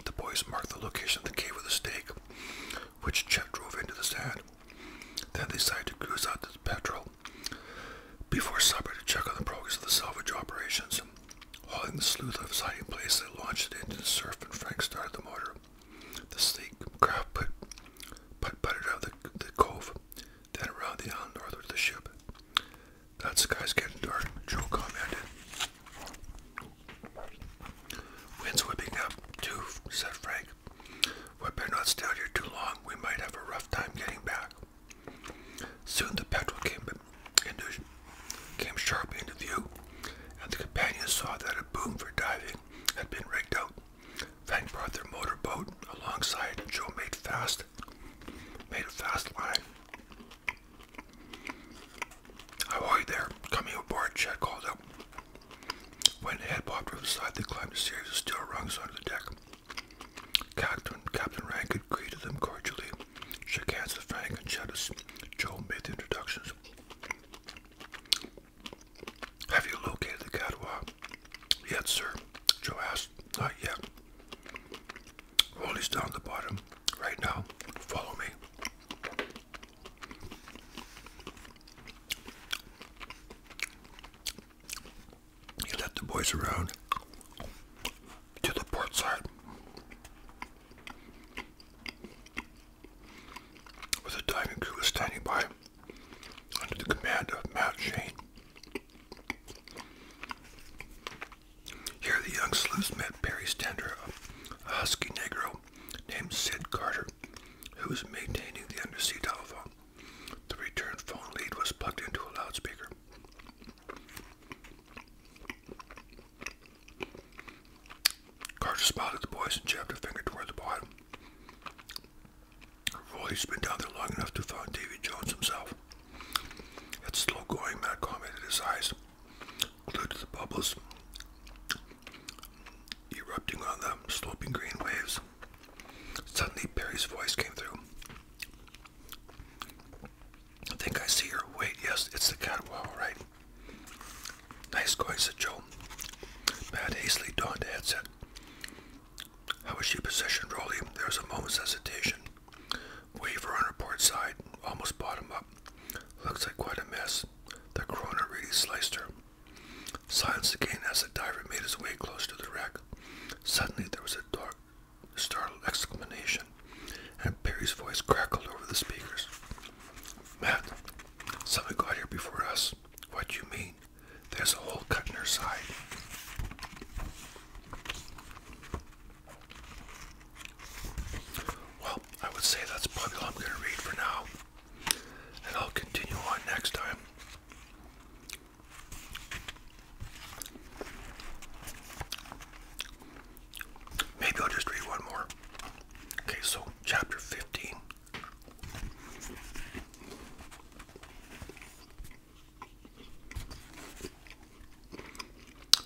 The boys marked the location of the cave with a stake, which Chet drove into the sand. Then they decided to cruise out to the petrol before supper to check on the progress of the salvage operations. Hauling the sleuth of sight hiding place, they launched it into the surf, and Frank started the motor. The sleek craft put, put butted out of the, the cove, then around the island north of the ship. That sky's getting dark, Joe commented. Wind's whipping up, too, said Frank. We better not stay out here too long. We might have a rough time getting back. Soon the petrel came into, came sharply into view, and the companions saw that a boom for diving had been rigged out. Frank brought their motorboat alongside, and Joe made fast made a fast line. Ahoy there, coming aboard, Chad called out. When the head popped over the side, they climbed a series of steel rungs onto the deck. Captain, Captain Rankin greeted them cordially, shook hands with Frank and Jettis. Joe made the introductions. Have you located the Catawba? Yet, sir, Joe asked. Not yet, all is down the bottom right now. Follow me. He led the boys around to the port side where the diving crew standing by under the command of Matt Shane. Here the young sleuths met Perry's Stender, a husky negro named Sid Carter, who was maintaining the undersea telephone. The returned phone lead was plugged into a loudspeaker. Carter smiled at the boys and jabbed a finger toward the bottom. Roy's been down there long enough to find Davy Jones himself. It's slow going, but I commented his eyes, glued to the bubbles erupting on them, sloping green waves. Suddenly, Barry's voice came through. I think I see her. Wait, yes, it's the catwalk, right? Nice going, said Joe. Matt hastily donned a headset. How was she positioned, Rolly? There was a moment's hesitation. Waver on her port side, almost bottom up. Looks like quite a mess. The corona really sliced her. Silence again as the diver made his way close to the wreck. Suddenly there was a dark, startled exclamation, and Perry's voice crackled over the speakers. Matt, someone got here before us. What do you mean? There's a hole cut in her side. Well, I would say that's probably all I'm going to read for now, and I'll continue on next time. Maybe I'll just read one more. Okay, so chapter 15.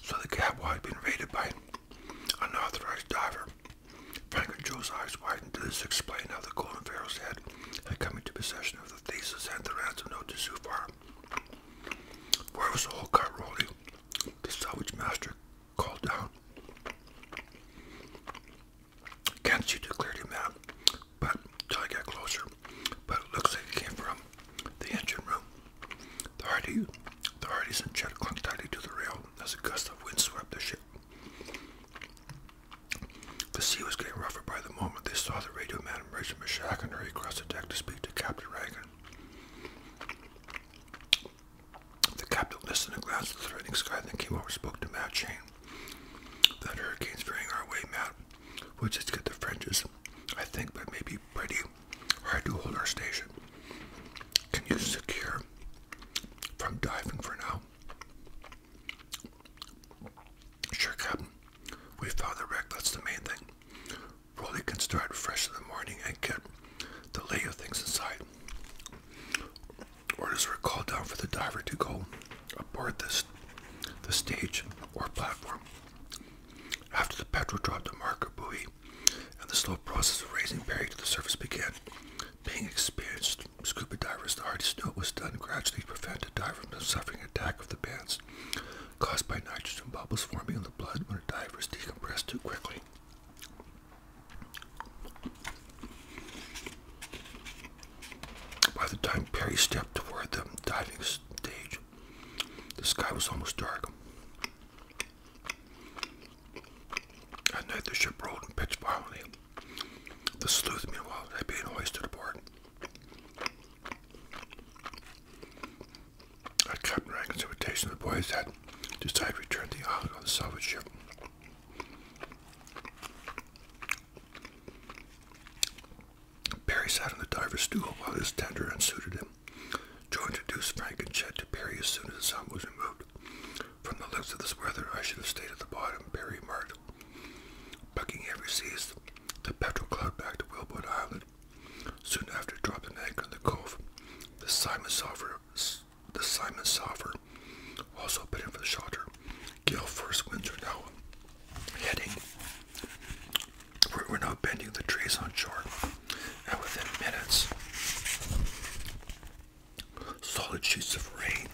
So the Gabwa had been raided by an unauthorized diver. Frank and Joe's eyes widened to this explain how the Golden Pharaoh's head had come into possession of the thesis and the ransom note to Zufar. Where was the whole car rolling? The salvage master called down. Can't you declared him out but until I got closer. But it looks like it came from the engine room. The Hardy, the Hardy's and Chet clung tightly to the rail as a gust of wind swept the ship. The sea was getting rougher by the moment. They saw the radio man emerge from the shack and hurry across the deck to speak to Captain Reagan. The captain listened and glanced at the threatening sky, then came over spoke to Matt Chain. That hurricane's veering our way, Matt which is good. The fringes, I think, but maybe pretty hard to hold our station. Can you secure from diving for now? Sure, Captain. We found the wreck. That's the main thing. Rolly can start fresh in the morning and get the lay of things inside. Orders were called down for the diver to go aboard this the stage or platform after the petrel dropped the marker buoy, and the slow process of raising Perry to the surface began. Being experienced scuba divers, the hardest knew it was done gradually to prevent a diver from suffering attack of the bends caused by nitrogen bubbles forming in the blood when a diver is decompressed too quickly. By the time Perry stepped toward the diving stage, the sky was almost dark. At night, the ship rolled and pitched violently. The sleuth, meanwhile, had been hoisted aboard. At Captain Rankin's invitation, the boys had decided to return the island on the salvage ship. Perry sat on the diver's stool while his tender unsuited him. Joe introduced Frank and Chet to Perry as soon as the sound was removed. From the lips of this weather, I should have stayed at the bottom, Perry marked. Buckingham seas, the petrel cloud back to Wilbourn Island. Soon after, dropped an anchor in the cove. The Simon Soffer, the Simon Soffer also bid in for the shelter. Gale first winds are now heading we're, now bending the trees on shore, and within minutes, solid sheets of rain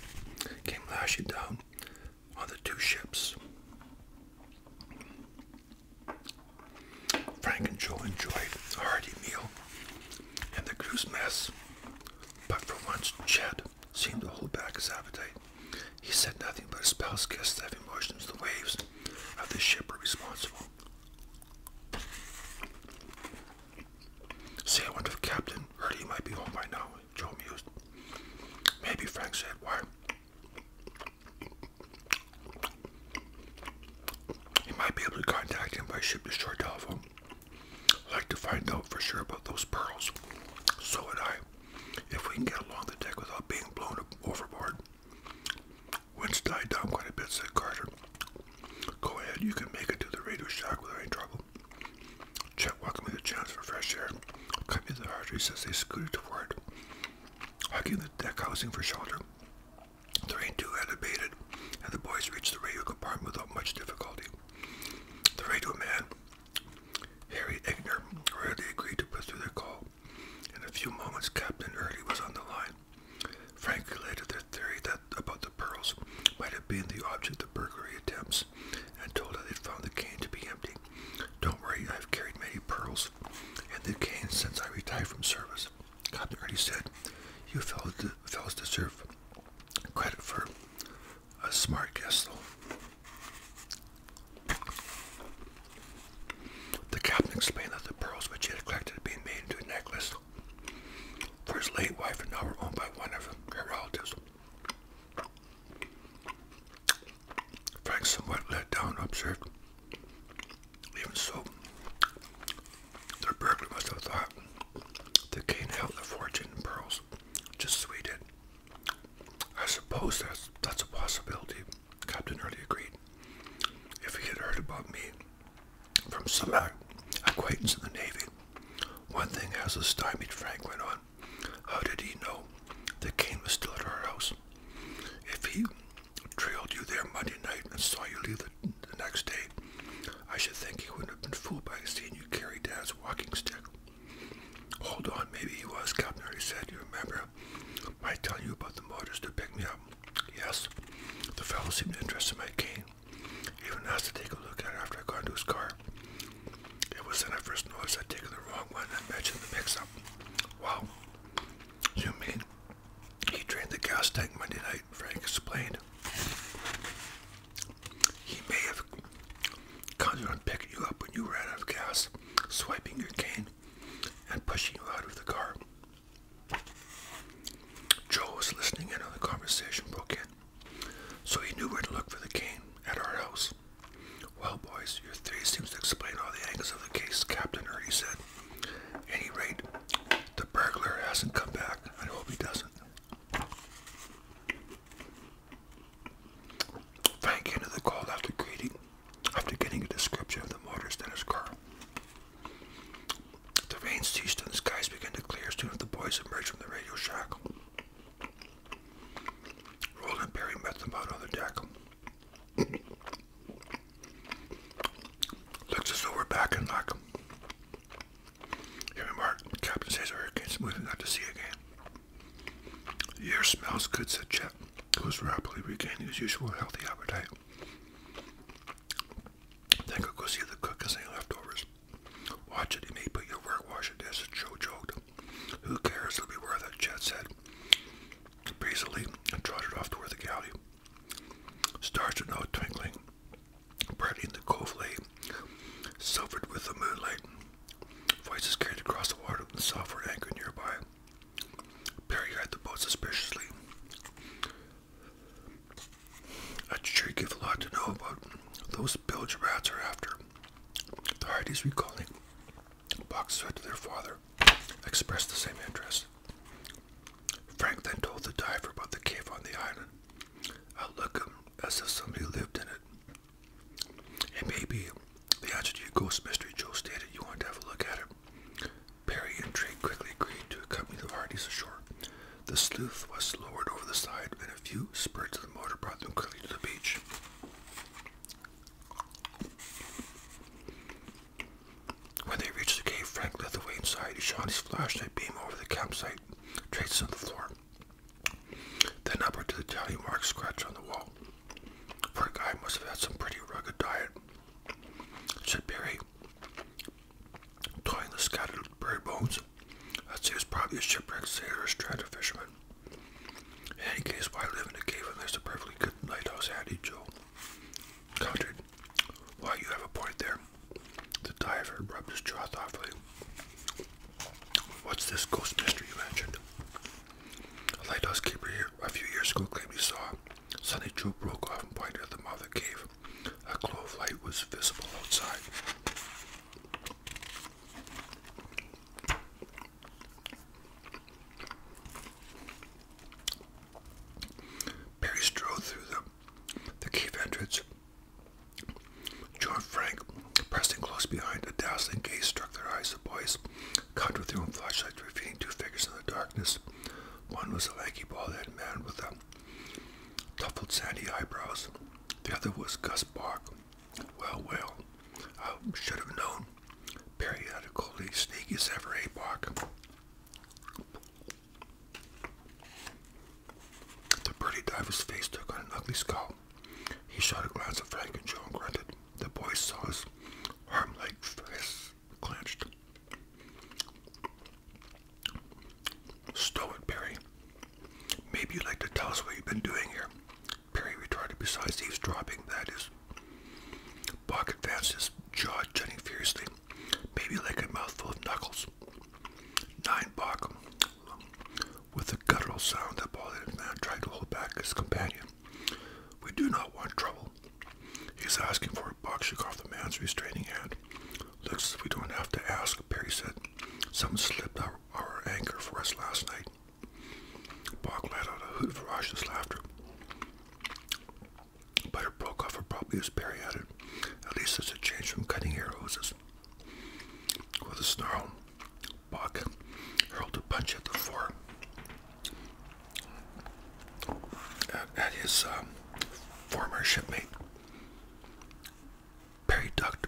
came lashing down on the two ships. Frank and Joe enjoyed a hearty meal and the crew's mess, but for once Chet seemed to hold back his appetite. He said nothing, but his pals guessed that emotions the waves of the ship responsible. Say, I wonder if Captain Hurley might be home by now, Joe mused. Maybe, Frank said. Why? He might be able to contact him by ship to shore telephone. I'd like to find out for sure about those pearls. So would I. If we can get along the deck without being blown overboard. Wind's died down quite a bit, said Carter. Go ahead, you can make it to the radio shack without any trouble. Chet welcomed me the chance for fresh air. Copy the arteries as they scooted toward, hugging the deck housing for shelter. The rain too had abated, and the boys reached the radio compartment without much difficulty. The radio man, Harry Egner, readily agreed to put through their call. In a few moments, Captain Early was on the line. Frank related their theory that about the pearls might have been the object of burglary attempts and told her they'd found the cane to be empty. Don't worry, I've carried many pearls and the cane since I retired from service. Captain Early said, You fellows deserve credit for a smart guess, though. The captain explained that the pearls which he had collected had been made into a necklace for his late wife and now were owned by one of her relatives. Frank, somewhat let down, observed. Even so, their burglar must have thought that Cain held the fortune in pearls, just as we did. I suppose that's, that's a possibility. Captain Early agreed. If he had heard about me from some acquaintance in the Navy, one thing as a stymied Frank went on, how did he know that Kane was still at our house? If he trailed you there Monday night and saw you leave the, the next day, I should think he wouldn't have been fooled by seeing you carry Dad's walking stick. Hold on, maybe he was, Captain Early said. You remember Am I telling you about the motors to pick me up? Yes. The fellow seemed interested in my cane. even asked to take a look at it after I got into his car. It was then I first noticed I'd taken the wrong one and mentioned the mix-up. Wow. You mean he drained the gas tank Monday night, Frank explained. He may have counted on picking you up when you ran out of gas, swiping your cane, and pushing you out of the car. Joe was listening in on the conversation broke in, so he knew where to look for the cane at our house. Well, boys, your theory seems to explain all the angles of the case, Captain Ernie said. any rate, the burglar hasn't come back. I hope he doesn't. Frank ended the call after greeting after getting a description of the murders that occur. The rains ceased and the skies began to clear as soon as the boys emerged from the radio shack. Roland Perry met them out on the deck. Looks as though back in luck. He remarked, Captain says hurricane's moving out to sea again. The smells good, said Chad cat, was rapidly regaining his usual healthy appetite. Then go see the cook as any leftovers. Watch it, he may put your work, wash your dishes, Joe joked. Who cares, it'll be worth it, Chet said. Breezily, and trotted off toward the galley. Stars were now twinkling, brightening the cove silvered with the moonlight. Voices carried across the water from the southward anchor nearby. Perry eyed the boat suspiciously. I'd sure give a lot to know about those bilge rats are after. The Hardys recalling Box said to their father, expressed the same interest. Frank then told the diver about the cave on the island. I look him as if somebody lived in it. And maybe. The answer to your ghost mystery, Joe stated. You want to have a look at it. Perry, and intrigued, quickly agreed to accompany the parties ashore. The sleuth was lowered over the side, and a few spurts of the motor brought them quickly to the beach. When they reached the cave, Frank led the way inside. He shone his flashlight beam over the campsite, traces on the floor, then up to the tally mark scratch on the wall. Poor guy must have had some pretty rugged diet, said Barry, toying the scattered bird bones. I'd say he was probably a shipwrecked sailor or stranded fisherman. In any case, why live in a cave unless a perfectly good lighthouse handy, Joe? Countered. Why, you have a point there. The diver rubbed his jaw thoughtfully. What's this ghost mystery you mentioned? A lighthouse keeper here a few years ago, Clemmy saw Sunny Joe broke off and pointed at the mouth of the cave. A glow of light was visible outside. Perry strode through the, cave entrance. Joe Frank, pressing close behind, a dazzling gaze struck their eyes. The boys Cut with their own flashlights, revealing two figures in the darkness. One was a lanky, bald-headed man with a um, sandy eyebrows. The other was Gus Bark. Well, well, I should have known. Periodically sneaky as ever, Bark? Eh, the birdie diver's face took on an ugly scowl. He shot a glance at Frank and Joe and grunted. The boy saw his arm-like fists clenched. Stow it, Perry. Maybe you'd like to tell us what you've been doing here. Perry retorted, besides eavesdropping, that is. Bach advanced his jaw jutting furiously, maybe like a mouthful of knuckles. Nine Bach, with a guttural sound that bothered him, man tried to hold back his companion. We do not want trouble. He's asking for a buck, shook off the man's restraining hand. Looks as we don't have to ask, Perry said. Someone slipped our, anchor for us last night. Bach let out a hoot of raucous laughter. But it broke off abruptly as Perry added, at least it's a change from cutting air hoses. With a snarl, Buck hurled a punch at the four at, his um, former shipmate. Perry ducked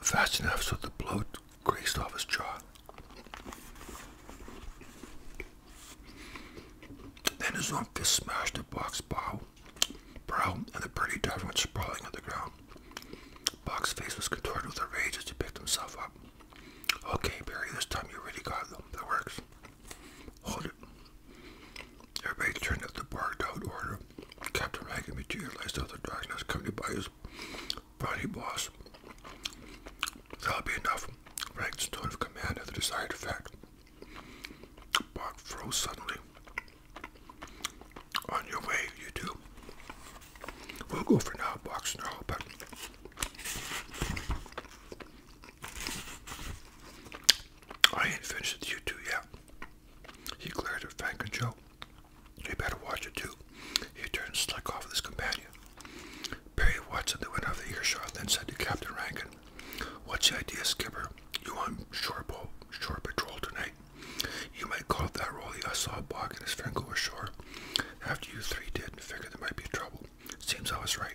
fast enough so the blow grazed off his jaw. Then his own fist smashed the box bow, brow, and the birdie diver went sprawling on the ground. Box's face was contorted with rage as he picked himself up. Okay, Barry, this time you really got them. That works. Hold it. Everybody turn up the barked out order. Captain Maggie materialized out of the darkness, accompanied by his body boss. That'll be enough. Rank's tone of command had the desired effect. Bach froze suddenly. On your way, you two. We'll go for now, Bach snarled, but I ain't finished with you two yet. He glared at Frank and Joe. You better watch it too. He turned and struck off with his companion. Perry Watson then went of the earshot then said to Captain Rankin, What's the idea, Skipper? You on shore, po shore patrol tonight? You might call it that, Rolly. I saw Bog and his friend go ashore after you three did and figured there might be trouble. Seems I was right.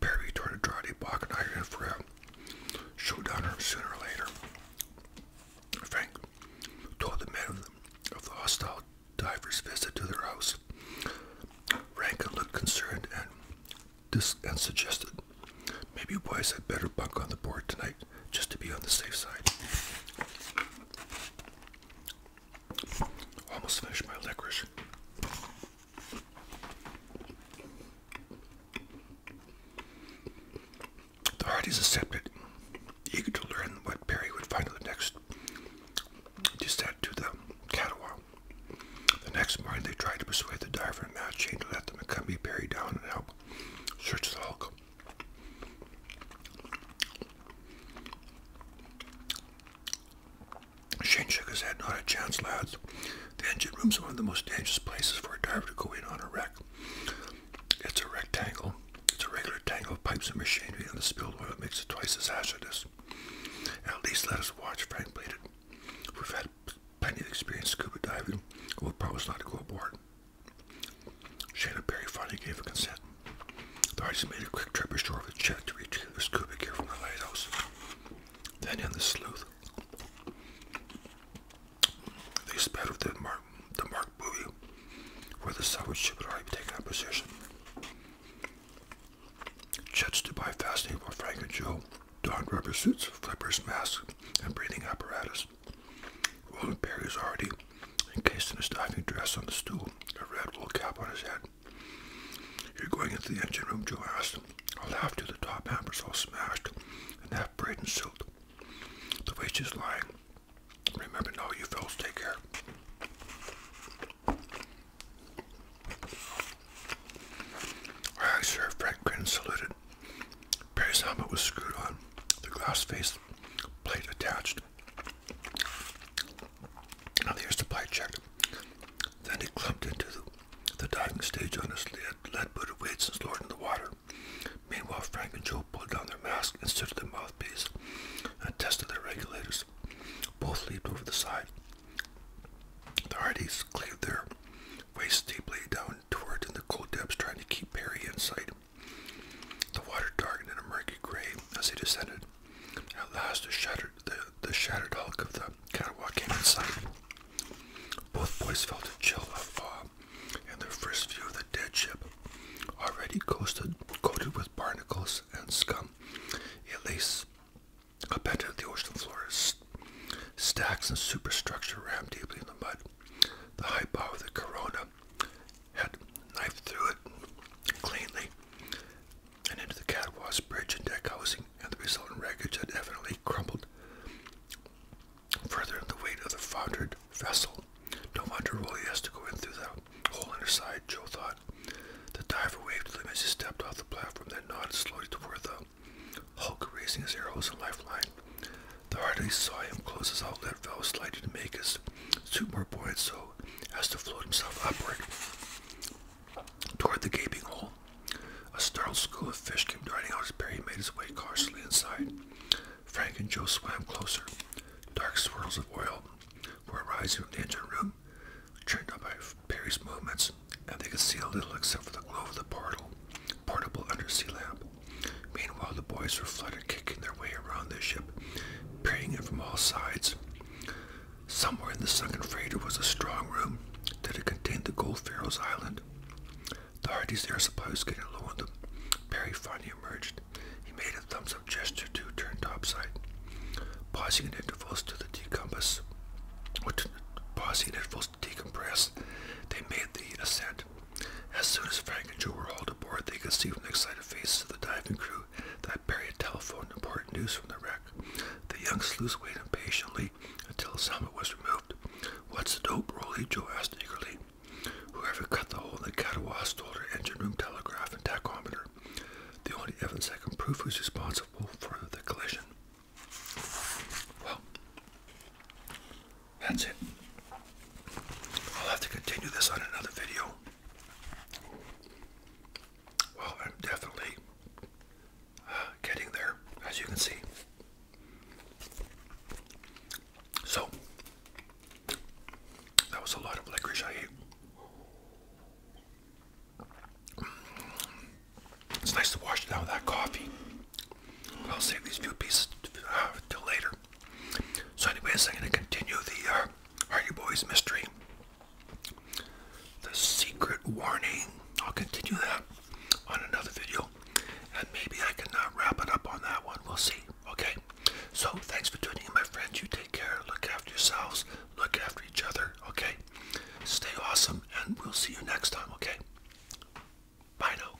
Perry toward Andrade, block and I are in for a showdown sooner or later. Frank told the men of the, hostile divers' visit to their house. Rankin looked concerned and, dis and suggested, maybe boys had better bunk on the board tonight just to be on the safe side. Almost finished my licorice. The Hardys accepted, eager to learn what Perry would find on the next descent to the Catawba. The next morning, they tried to persuade the diver and Matt Chain to let them accompany Perry down and help search the hulk. Shane shook his head. not a chance, lads. The engine room's one of the most dangerous places for a diver to go in on a wreck. It's a rectangle. It's a regular tangle of pipes and machinery, and the spilled oil makes it twice as hazardous. At least let us watch, Frank pleaded. We've had plenty of experience scuba diving, we'll promise not to go aboard. Shana Barry finally gave a consent. The artist made a quick trip ashore with Chet to retrieve the scuba gear from the lighthouse, then in the sleuth. They sped with the mark, the where the salvage ship had already taken up position. Chet stood by fascinated while Frank and Joe donned rubber suits, flippers, mask, and breathing apparatus. Roland Perry was already encased in his diving dress on the stool, a red wool cap on his head. You're going into the engine room, Joe asked. I laughed at the top hammers all smashed and half braid and The waist is lying. Remember now, you fellows take care. Aye, sir, Frank grinned saluted. Perry's helmet was screwed on, the glass face plate attached. Now the air supply Then he clumped into the, diving stage on his lead, lead-booted weights and lowered in the water. Meanwhile, Frank and Joe pulled down their masks and stood at the mouthpiece and tested their regulators. Both leaped over the side. The Hardys cleaved their waist deeply down toward in the cold depths, trying to keep Perry in sight. The water darkened in a murky gray as they descended. At last, the shattered, the, the shattered hulk of the catawalk came in sight. Both boys felt a chill of awe in their first view of the dead ship, already coasted, coated with barnacles and scum. It lay upended at the ocean floor. Stacks and superstructure rammed deeply in the mud. The high bow of the corona had knifed through it cleanly and into the catawba's bridge and deck housing, and the resultant wreckage had evidently crumbled further in the weight of the foundered vessel. No wonder Rolly has to go in through that hole in her side, Joe thought. The diver waved to him as he stepped off the platform, then nodded slowly toward the Hulk, raising his arrows and lifeline. The Hardy saw him close his outlet valve slightly to make his suit more buoyant, so has to float himself upward toward the gaping hole. A startled school of fish came darting out as Perry made his way cautiously inside. Frank and Joe swam closer. Dark swirls of oil were rising from the engine room, churned up by Perry's movements, and they could see a little except for the glow of the portal, portable undersea lamp. Meanwhile, the boys were fluttered, kicking their way around the ship, peering in from all sides. Somewhere in the sunken freighter was a strong room that had contained the gold Pharaoh's Island. The Hardy's air supply was getting low on them. Perry finally emerged. He made a thumbs up gesture to turn topside, pausing at intervals to the decompass. Pausing at intervals to decompress, they made the ascent. As soon as Frank and Joe were hauled aboard, they could see from the excited faces of the diving crew that Barry had telephoned important news from the wreck. The young sleuth waited impatiently until helmet was removed. What's the dope, Rolly? Joe asked eagerly. Whoever cut the hole in the Catawba stole her engine room telegraph and tachometer. The only evidence I can prove who's responsible for the collision. Well, that's it. I'll have to continue this on another video. Well, I'm definitely uh, getting there, as you can see. So, that was a lot of licorice I ate. Mm, it's nice to wash it down that coffee. I'll save these few pieces uh, later. So, anyways, I'm going to continue the uh, Hardy Boys mystery the secret warning. I'll continue that on another video. And maybe I can uh, wrap it up on that one. We'll see. Okay. So thanks for tuning in, my friends. You take care. Look after yourselves. Look after each other. Okay. Stay awesome. And we'll see you next time. Okay. Bye now.